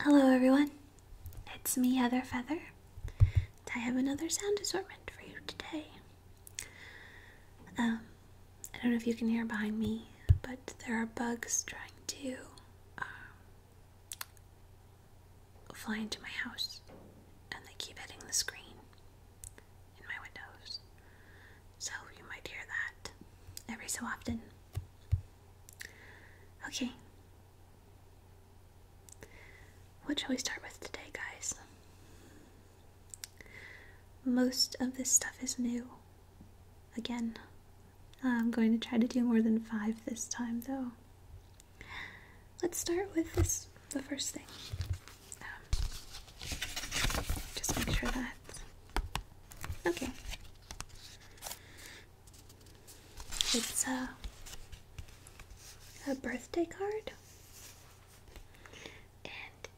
Hello, everyone. It's me, Heather Feather. I have another sound assortment for you today. Um, I don't know if you can hear behind me, but there are bugs trying to um, fly into my house, and they keep hitting the screen in my windows. So you might hear that every so often. Okay. What shall we start with today, guys? Most of this stuff is new. Again, I'm going to try to do more than five this time, though. Let's start with this the first thing. Um, just make sure that. Okay. It's a, a birthday card and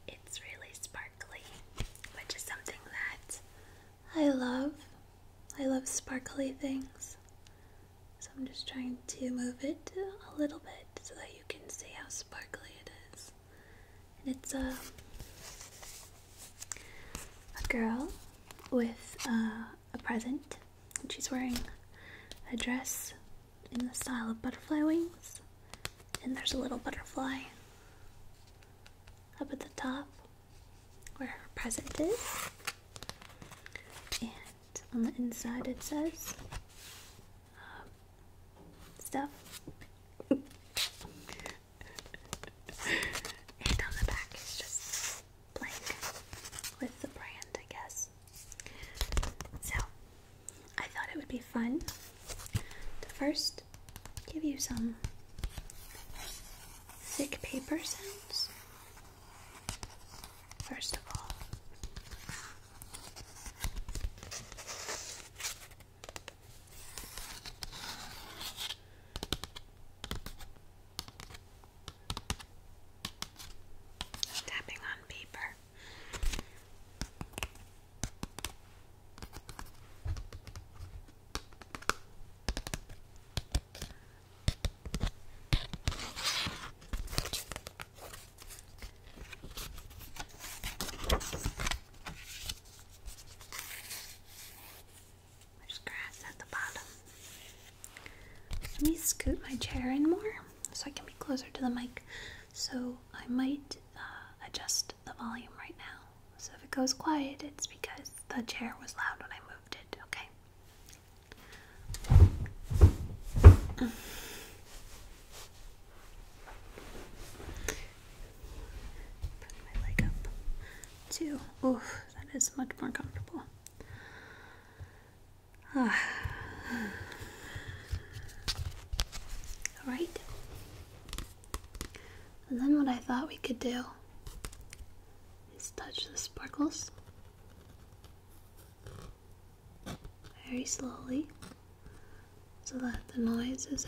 it's really sparkly, which is something that I love. I love sparkly things. So I'm just trying to move it a little bit so that you can see how sparkly it is. And it's a, a girl with uh, a present. And she's wearing a dress in the style of butterfly wings. And there's a little butterfly up at the top where her present is. And on the inside it says uh, stuff and on the back is just blank with the brand, I guess. So, I thought it would be fun to first give you some thick paper sounds. First of all, Tapping on paper. There's grass at the bottom. Let me scoot my chair in more so I can be closer to the mic. So I might uh, adjust the volume right now. So if it goes quiet, it's because the chair was loud when I moved it, okay? Put my leg up too. Oof, that is much more comfortable. Ah. All right. And then what I thought we could do is touch the sparkles very slowly so that the noises is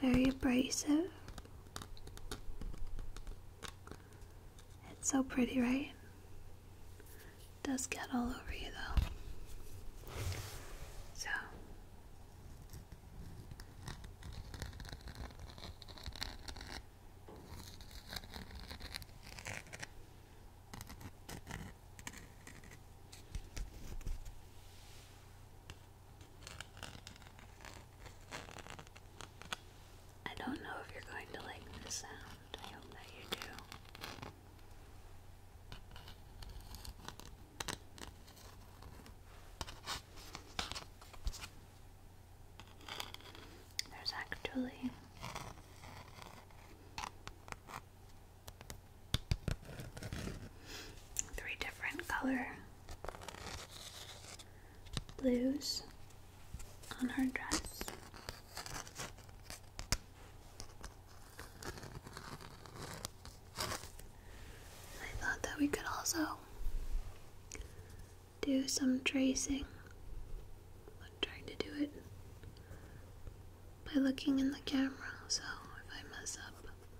very abrasive. It's so pretty, right? does get all over you though. So I don't know if you're going to like this sound. I hope that you do. There's actually Three different color blues on her dress. I thought that we could also do some tracing. I'm trying to do it by looking in the camera, so if I mess up,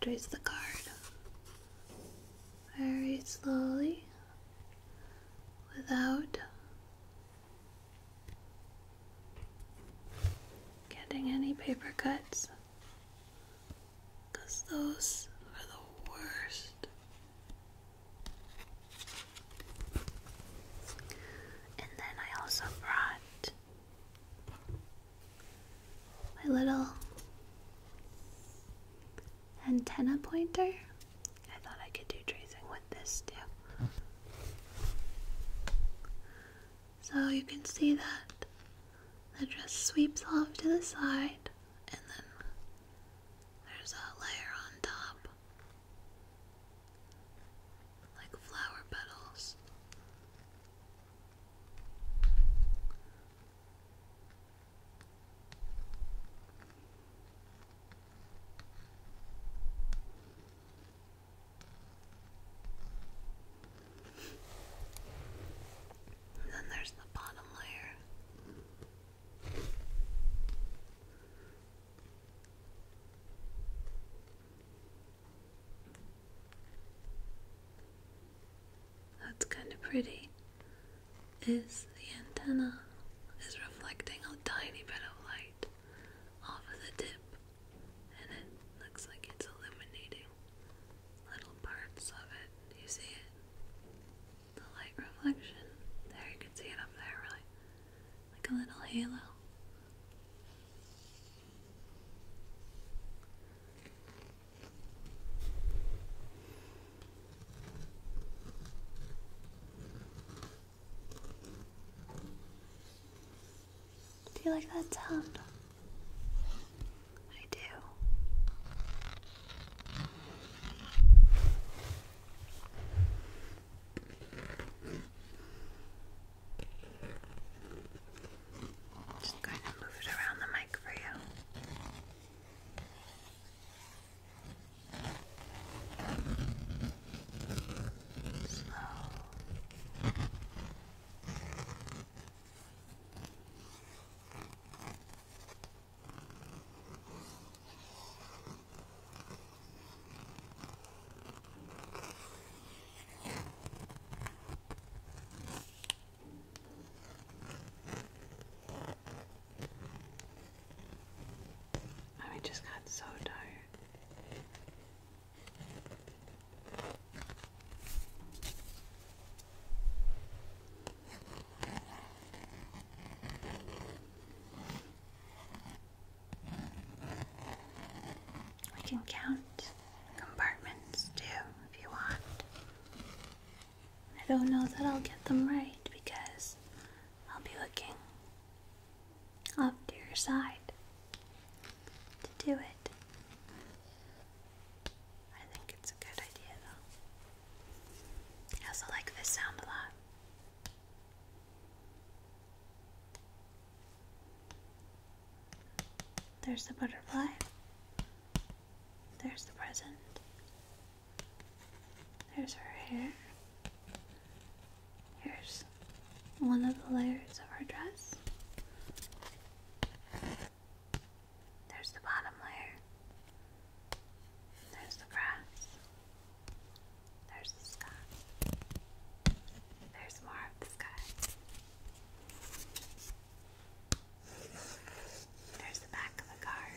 Trace the card very slowly without getting any paper cuts. Because those are the worst. And then I also brought my little antenna pointer. I thought I could do tracing with this too. So you can see that the just sweeps off to the side, and then there's a layer on top, like flower petals. And then there's the bottom layer. That's kind of pretty. Is the antenna is reflecting a tiny bit of light off of the tip, and it looks like it's illuminating little parts of it. You see it? the light reflection. There, you can see it up there, really. Like a little halo. Do you like that sound? I do. Just kind of move it around the mic for you. Slow. I just got so tired. We can count compartments too if you want. I don't know that I'll get them right because I'll be looking off to your side to do it. I think it's a good idea though. I also like this sound a lot. There's the butterfly. There's the present. There's her hair. Here's one of the layers of her dress. There's the bottom layer. There's the brass. There's the sky. There's more of the sky. There's the back of the car.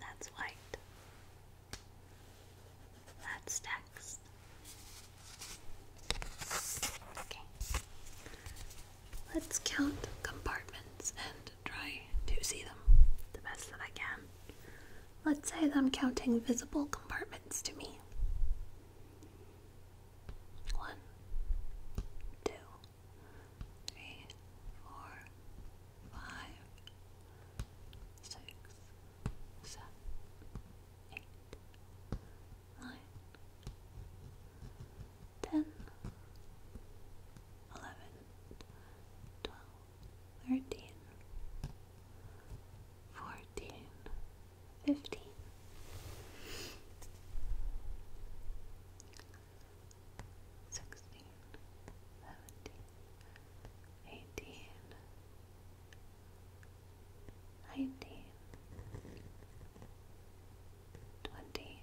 That's white. That's text. Okay. Let's count compartments and try to see them the best that I can. Let's say that I'm counting visible compartments to me. One, two, three, four, five, six, seven, eight, nine, ten, eleven, twelve, thirteen, fourteen, fifteen. Sixteen, seventeen, eighteen, nineteen, twenty,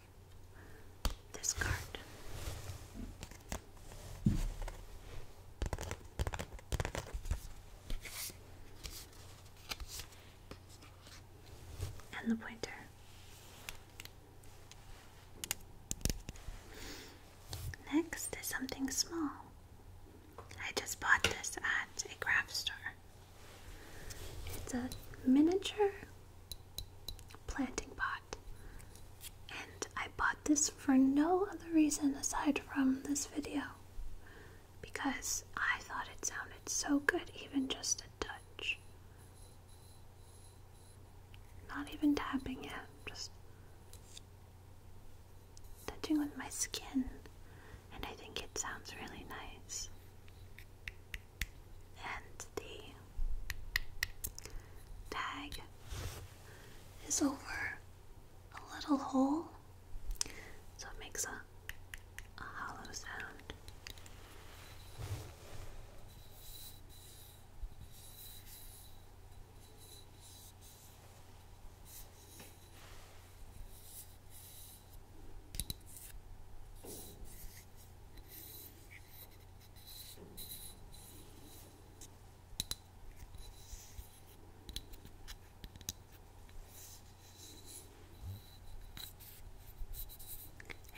this card. And the pointer. Next is something small. I just bought this at a craft store. It's a miniature planting pot. And I bought this for no other reason aside from this video. Because I thought it sounded so good, even just a touch. Not even tapping yet, just touching with my skin. And I think it sounds really nice and the tag is over a little hole, so it makes a, a hollow sound.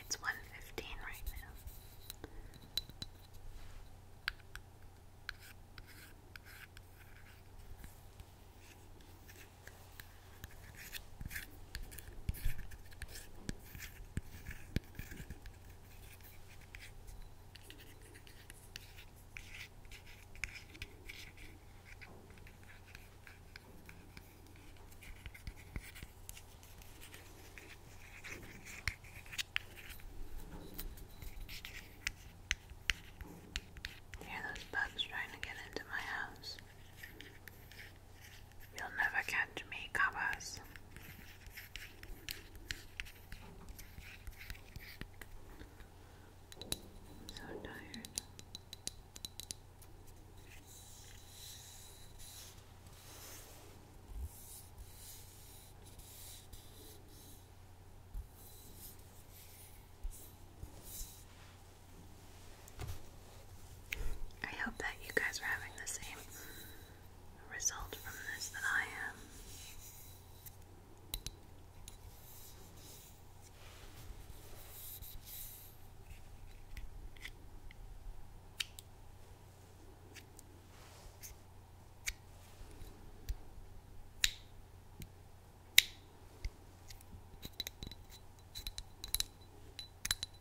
It's one fifteen right now. Hear those bugs trying to get into my house. You'll never catch me, Cabas. so tired. I hope that you guys are having the same result from this that I am.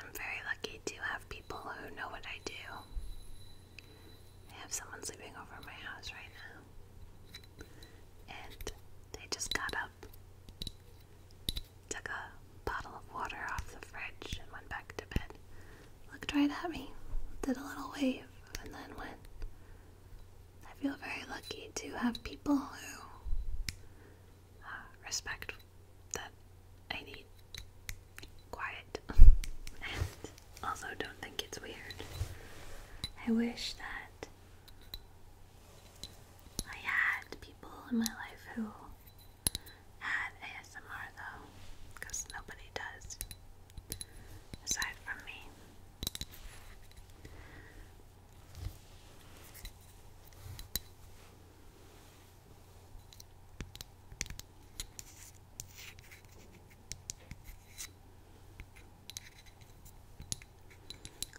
I'm very lucky to have people who know what I do. I have someone sleeping over my house right now and they just got up, took a bottle of water off the fridge, and went back to bed. Looked right at me, did a little wave, and then went. I feel very lucky to have people who uh, respect that I need quiet and also don't think it's weird. I wish that I had people in my life who had ASMR though, because nobody does, aside from me.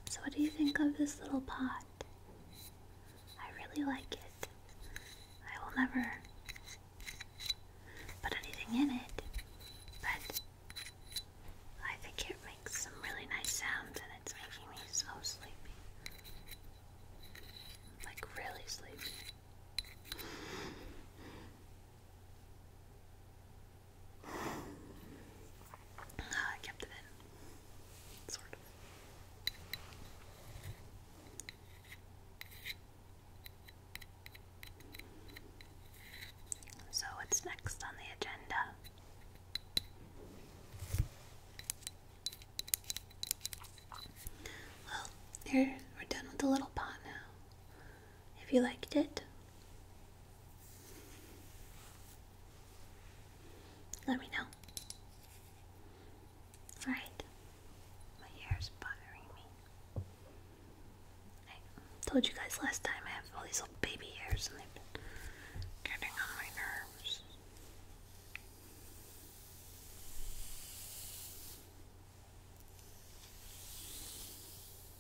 So, what do you think of this little pot? I really like it. I will never put anything in it, but I think it makes some really nice sounds and it's making me so sleepy. Like, really sleepy. Ah, I kept it in, sort of. So, what's next on the agenda? Well, here we're done with the little pot now if you liked it. Let me know. Alright, my hair bothering me. told you guys last time I have all these little baby hairs and they've getting on my nerves.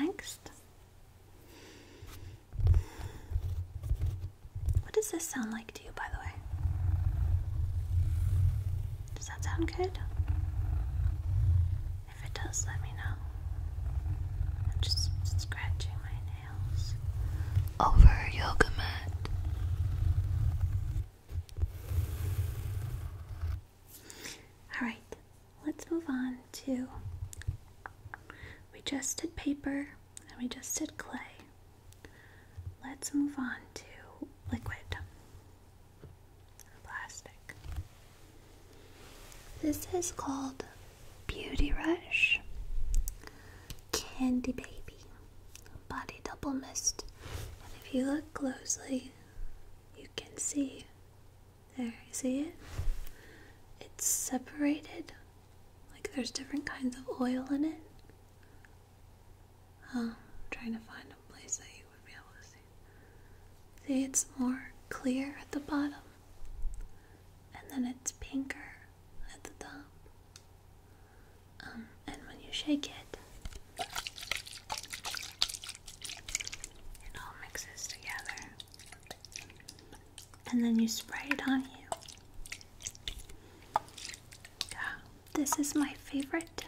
Next. What does this sound like to you, by the way? Does that sound good? If it does, let me know. I'm just scratching my neck over her yoga mat. Alright, let's move on to. We just did paper and we just did clay. Let's move on to liquid plastic. This is called Beauty Rush, Candy Baby, Body Double Mist. And if you look closely, you can see. There, you see it? It's separated. Like there's different kinds of oil in it. Oh, I'm trying to find a place that you would be able to see. See, it's more clear at the bottom and then it's pinker at the top. Um, and when you shake it, it all mixes together. And then you spray it on you. Yeah, this is my favorite,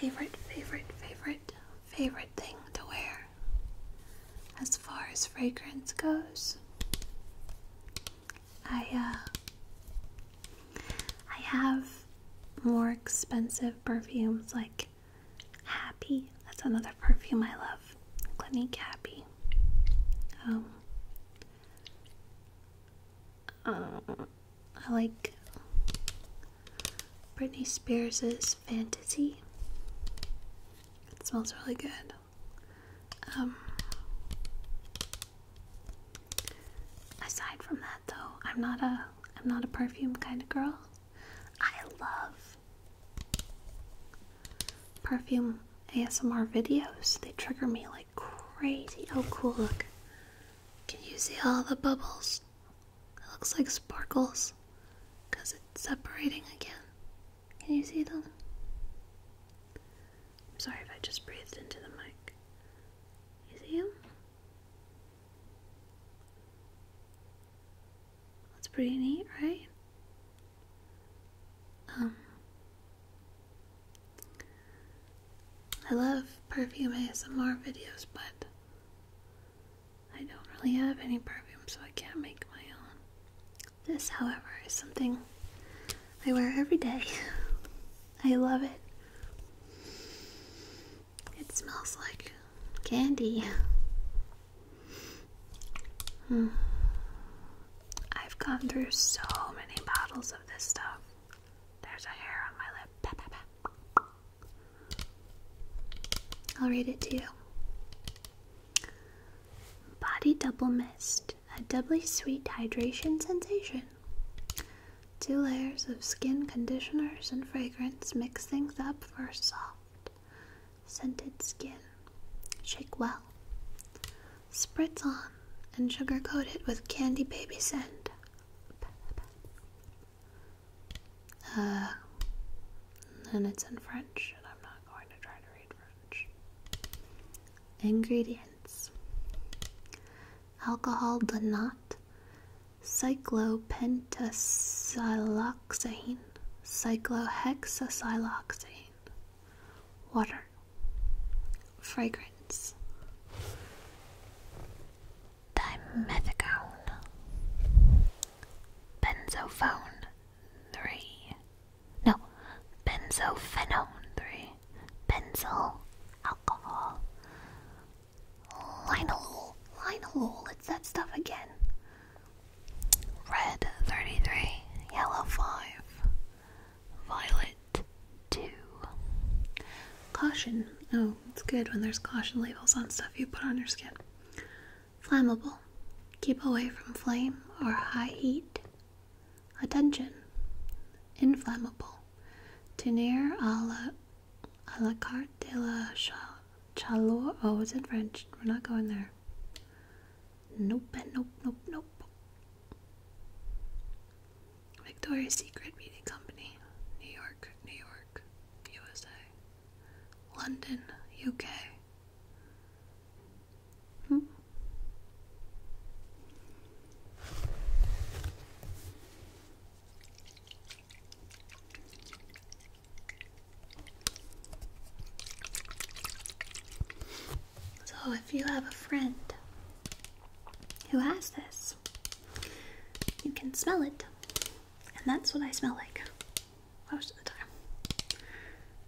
favorite, favorite, favorite, favorite thing to wear as far as fragrance goes. I uh, I have more expensive perfumes like Happy. That's another perfume I love. Clinique Happy. Um uh, I like Britney Spears' Fantasy. It smells really good. Um, aside from that, though, I'm not a I'm not a perfume kind of girl. I love perfume ASMR videos. They trigger me like crazy. Oh, cool! Look, can you see all the bubbles? It looks like sparkles because it's separating again. Can you see them? sorry if I just breathed into the mic. You see them? That's pretty neat, right? Um, I love perfume ASMR videos, but I don't really have any perfume, so I can't make my own. This, however, is something I wear every day. I love it. It smells like candy. Hmm. I've gone through so many bottles of this stuff. There's a hair on my lip. I'll read it to you. Body Double Mist, a doubly sweet hydration sensation. Two layers of skin conditioners and fragrance mix things up for soft, scented skin. Shake well. Spritz on and sugar coat it with candy baby scent. Uh, and it's in French, and I'm not going to try Ingredients Alcohol denat, cyclopentasiloxane, cyclohexasiloxane, water, fragrance, dimethicone, benzophone, three. No, benzophenone three. Benzyl alcohol. Linalool. Linalool. It's that stuff again. Red 33, yellow 5, violet 2. Caution. Oh, it's good when there's caution labels on stuff you put on your skin. Flammable. Keep away from flame or high heat. Attention. Inflammable. Tenir à la, à la carte de la chaleur. Oh, it's in French. We're not going there. Nope, nope, nope, nope. Victoria's Secret Beauty Company. New York, New York, USA. London, UK. Hmm? So, if you have a friend who has this, you can smell it, and that's what I smell like most of the time.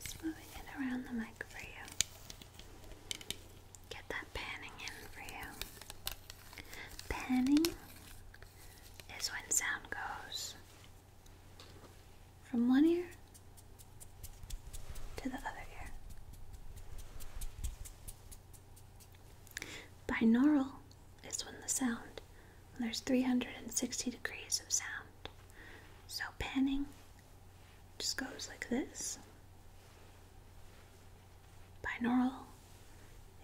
Just moving it around the mic for you. Get that panning in for you. Panning is when sound goes from one ear to the other ear. Binaural is when the sound, there's 360 degrees of sound. So panning just goes like this. Binaural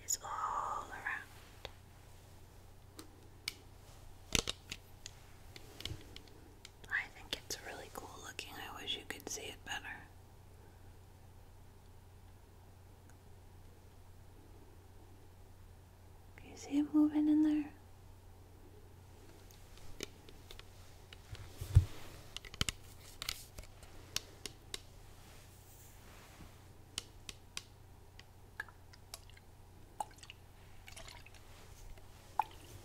is all around. I think it's really cool looking. I wish you could see it better. Do you see it moving in there?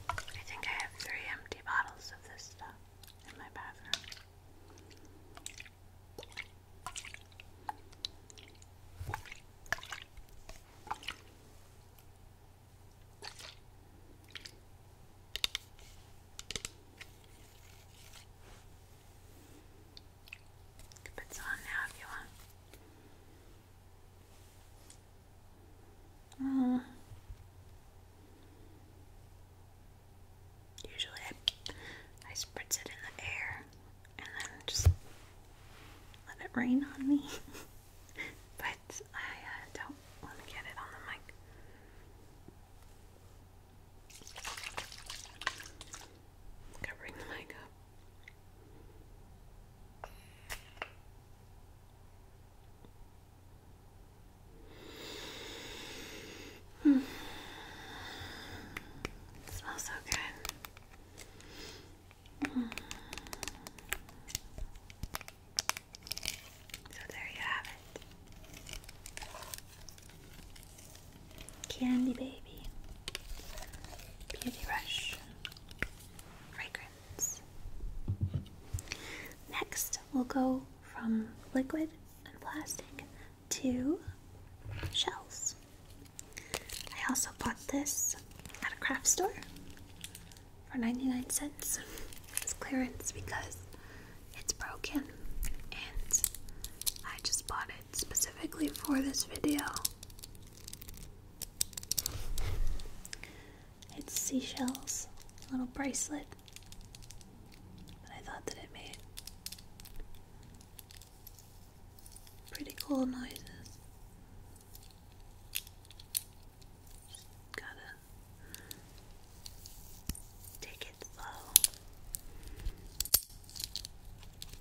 I think I have three empty bottles of this stuff in my bathroom put some on now if you want. usually I, spritz it in the air and then just let it rain on me. but I uh, don't want to get it on the mic. Covering the makeup. Hmm. It smells so good. Hmm. So there you have it. Candy Baby, Beauty Rush, Fragrance. Next, we'll go from liquid and plastic to shells. I also bought this at a craft store for 99 cents as clearance because it's broken and I just bought it specifically for this video. It's seashells, a little bracelet. But I thought that it made pretty cool noises. gotta take it slow.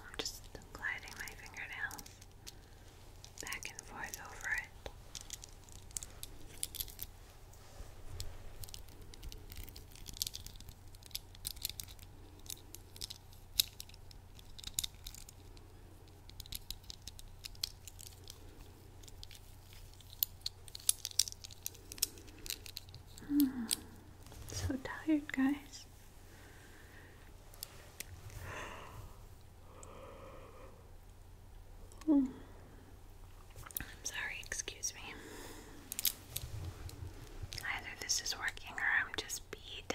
I'm just gliding my fingernails back and forth over it. Hmm. So tired, guys. I'm hmm. sorry, excuse me. Either this is working or I'm just beat.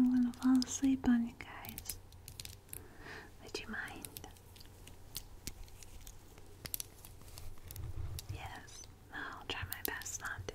I'm gonna fall asleep on you guys. Would you mind? Yes. I'll try my best not to.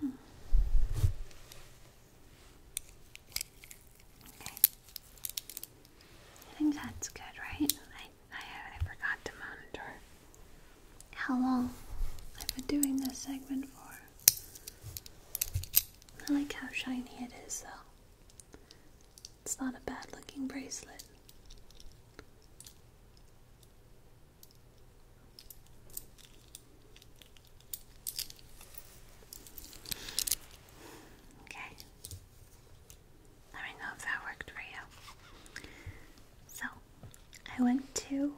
Hmm. I think that's good, right? I, I forgot to monitor how long I've been doing this segment for. I like how shiny it is, though. It's not a bad looking bracelet. Okay. Let me know if that worked for you. So, I went to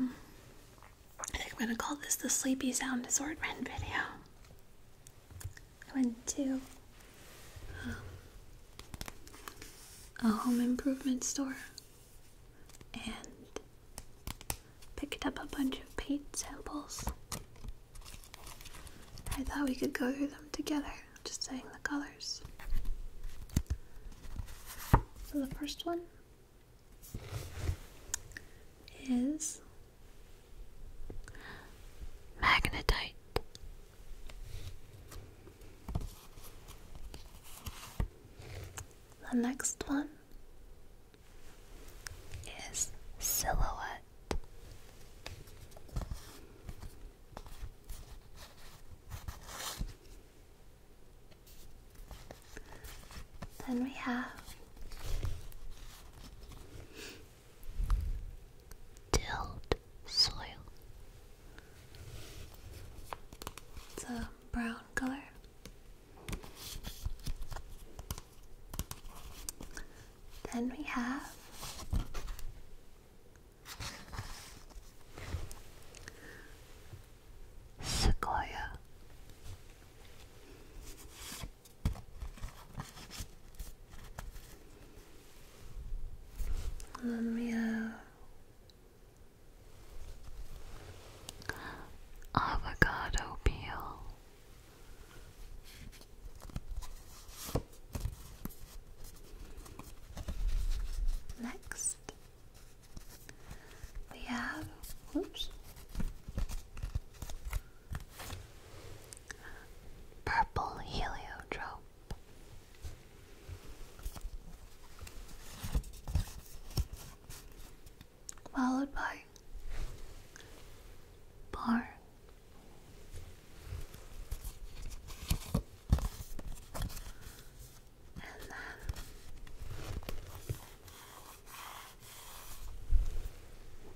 I think I'm gonna call this the sleepy sound assortment video. I went to a home improvement store and picked up a bunch of paint samples. I thought we could go through them together, just saying the colors. So the first one is magnetite. The next one is silhouette. Then we have tilled soil. It's a brown color. Then we have Sequoia. And we have avocado peel. Next, we have, whoops, purple heliotrope. Followed by barn, and then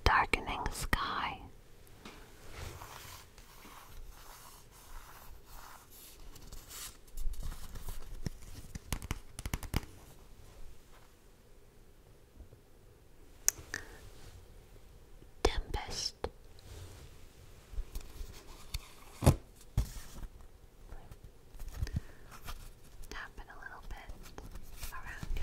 darkening sky. Tempest. Tap it a little bit around you.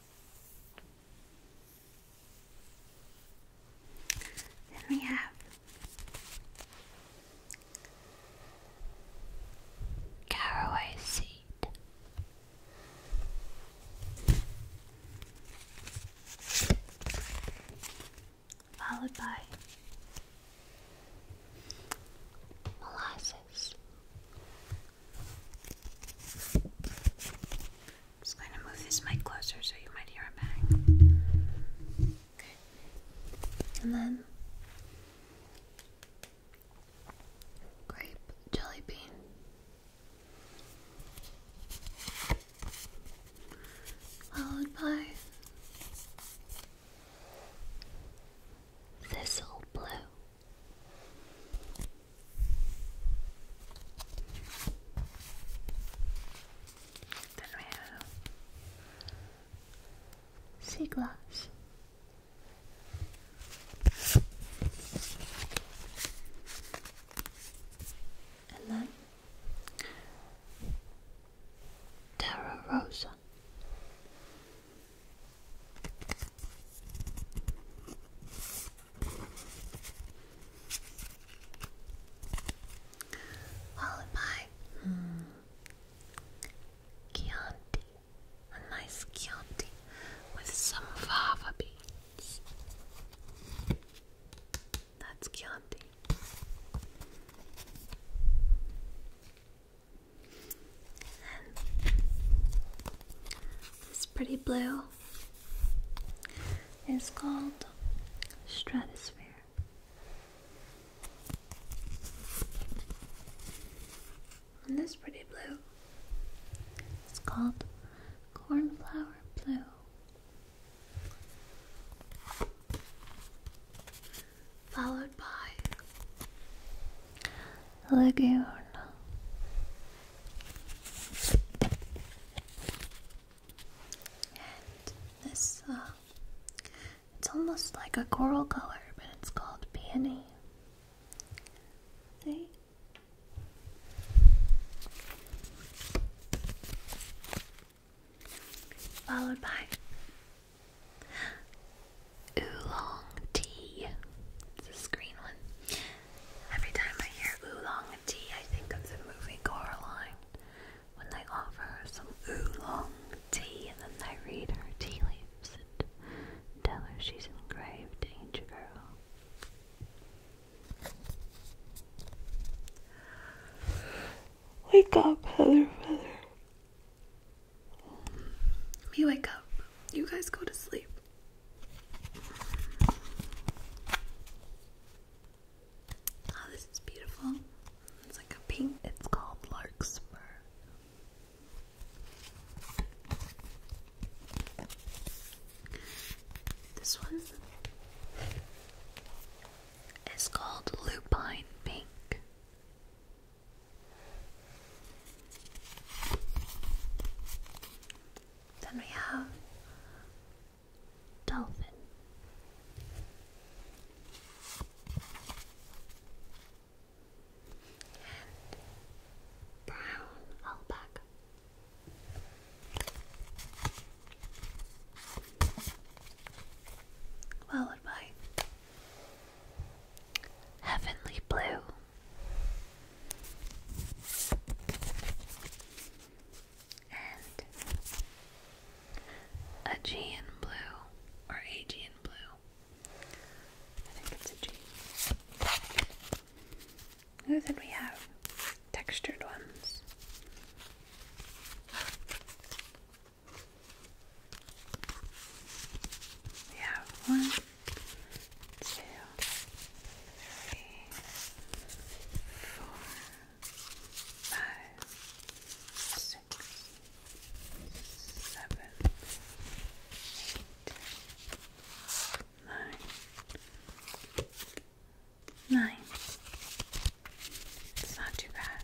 Then we have caraway seed. Followed by molasses, just going to move this mic closer so you might hear a bang. Okay. And then grape jelly bean. Followed by thistle blue. Then sea glass. And then Terra Rosa. Followed by hmm, Chianti, a nice Chianti with some fava beans. That's Chianti. And this pretty blue is called Stratosphere. And this pretty blue is called Cornflower Blue. Followed by lagoon. And this, uh, it's almost like a coral color, but it's called peony. See? Followed by oolong tea. It's a green one. Every time I hear oolong tea, I think of the movie Coraline when they offer her some oolong tea, and then they read her tea leaves and tell her she's in grave danger. Wake up, Heather Heather, You wake up. You guys go to sleep. Oh, this is beautiful. It's like a pink. It's called Larkspur. This one is called Lupine Pink. Then we have dolphin. And brown alpaca. Followed by heavenly blue and Aegean blue or Aegean blue. I think it's a G. And then we have textured ones. We have one two, three, four, five, six, seven, eight, nine, nine. It's not too bad.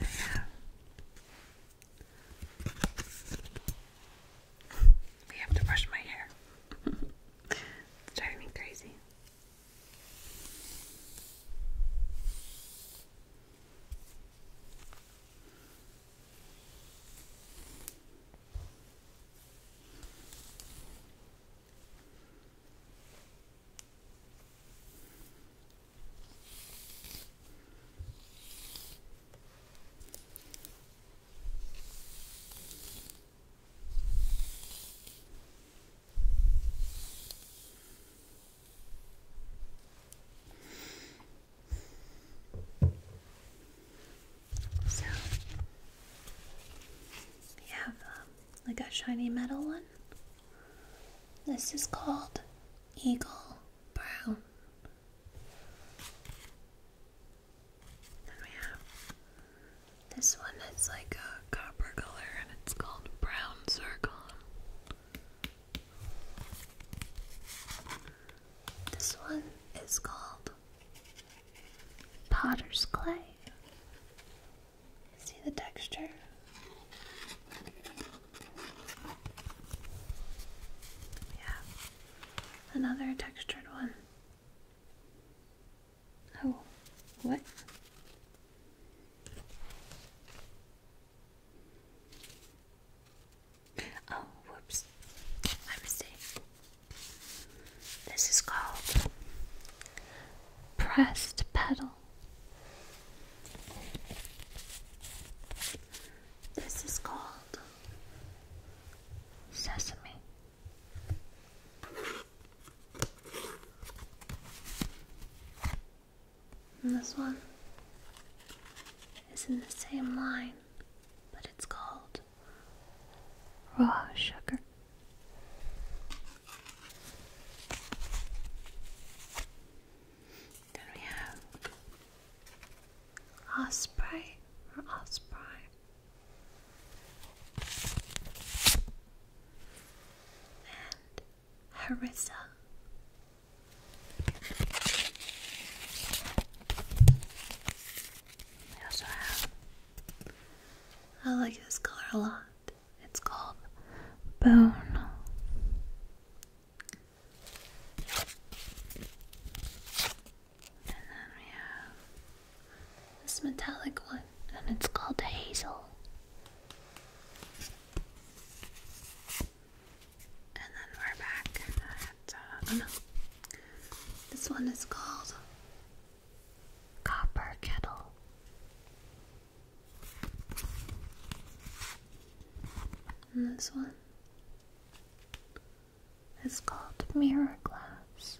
I I have to brush my hair. driving me crazy. So we have um, like a shiny metal one. This is called Eagle brown. Then we have this one that's like a copper color and it's called Brown Circle. This one is called Potter's Clay. See the texture? Yeah, another textured one. Oh, what? Oh, whoops. My mistake. This is called pressed petal. This is called sesame. And this one is in the same line, but it's called raw sugar. Then we have Osprey or Osprey. And Harissa. I also have I like this color a lot. It's called Bone. And then we have this metallic one, and it's called Hazel. And then we're back um, this one is called Copper Kettle. And this one it's called mirror glass.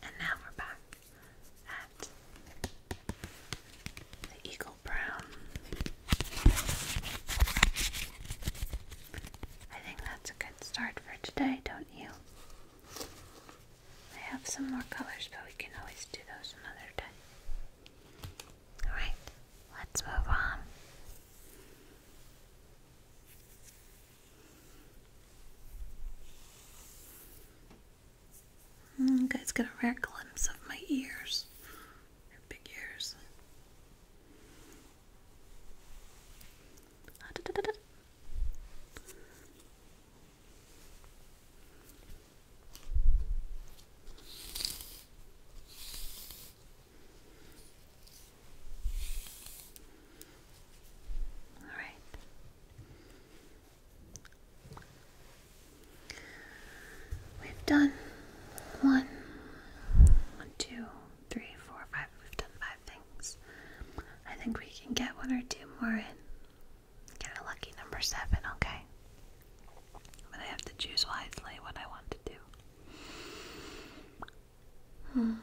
And now we're back at the Eagle Brown. I think that's a good start for today, don't you? I have some more colors, but we can always do those another day. Alright, let's move on. Hmm, you guys get a rare glimpse of my ears. they big ears. All right. We've done one, one, two, three, four, five. We've done five things. I think we can get one or two more in. Get a lucky number seven, okay? But I have to choose wisely what I want to do. Hmm.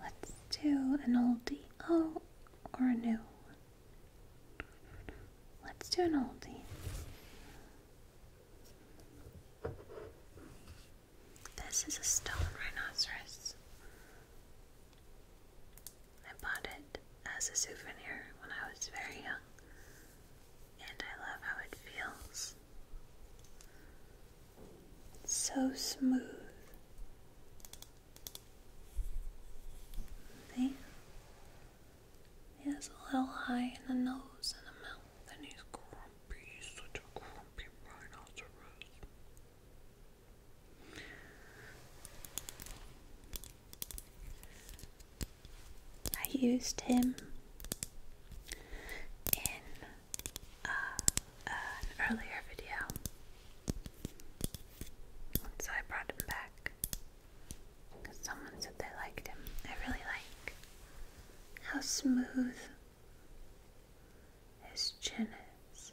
Let's do an oldie. Oh, or a new. Let's do an oldie. This is a stone rhinoceros. I bought it as a souvenir when I was very young, and I love how it feels. so smooth. See? He has a little high in the nose and the mouth, and he's grumpy. He's such a grumpy rhinoceros. I used him in uh, an earlier video. And I brought him back someone said they liked him. I really like how smooth his chin is.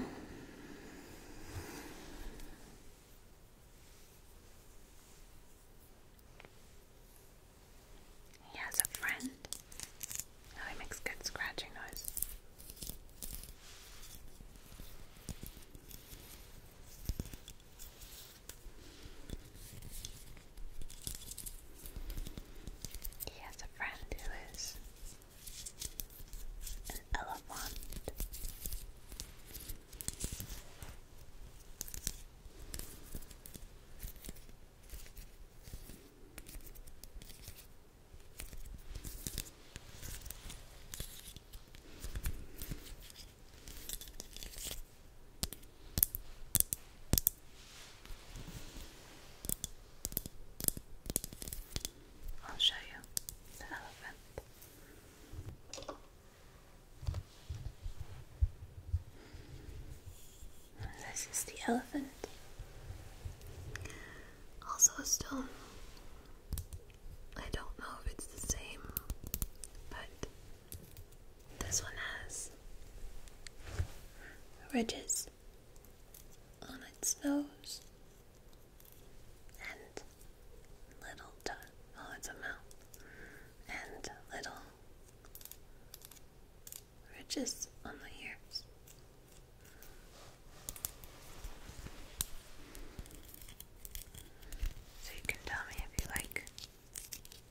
He has a friend. Oh, he makes good scratching noise. He has a friend who is an elephant. I'll show you the elephant. This is the elephant. Also a stone. I don't know if it's the same, but this one has ridges on its nose and little toe. Oh, it's a mouth. And little ridges on the ears. So you can tell me if you like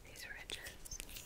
these ridges.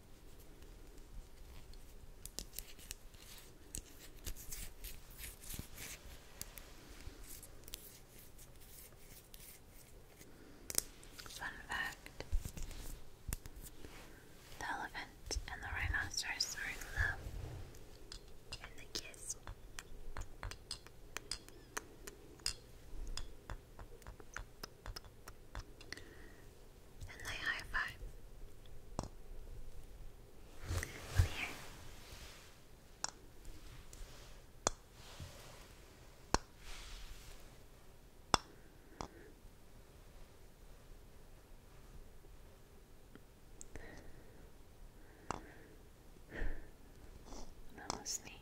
Fun fact The elephant and the rhinoceros are in love and they kiss and they high five. here. Mama sneezed.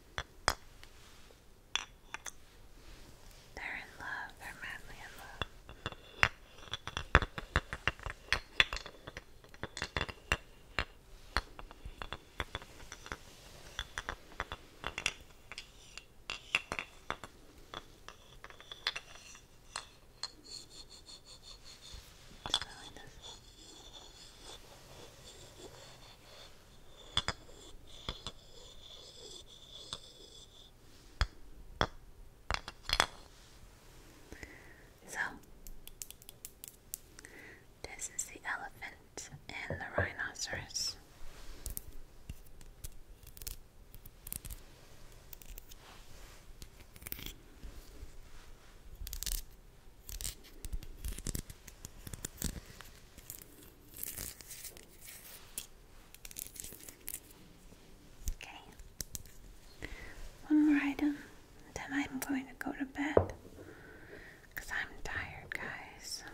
They're in love, they're madly in love. Smelling this. So, this is the elephant and the rhinoceros. Okay. One more item, then I'm going to go to bed. Because I'm tired, guys.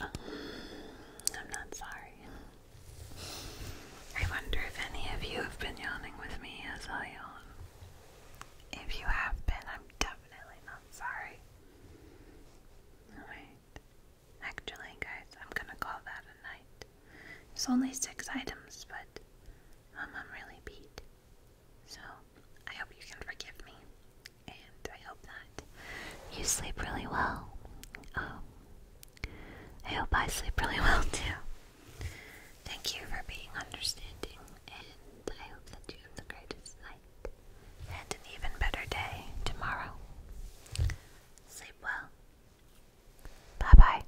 Um, I'm not sorry. I wonder if any of you have been yawning with me as I yawn. If you have been, I'm definitely not sorry. Alright. Actually, guys, I'm gonna call that a night. It's only six items, but um, I'm really beat. So, I hope you can forgive me, and I hope that you sleep really well. Um, I hope I sleep really well too. Thank you for being understanding, and I hope that you have the greatest night and an even better day tomorrow. Sleep well. Bye bye.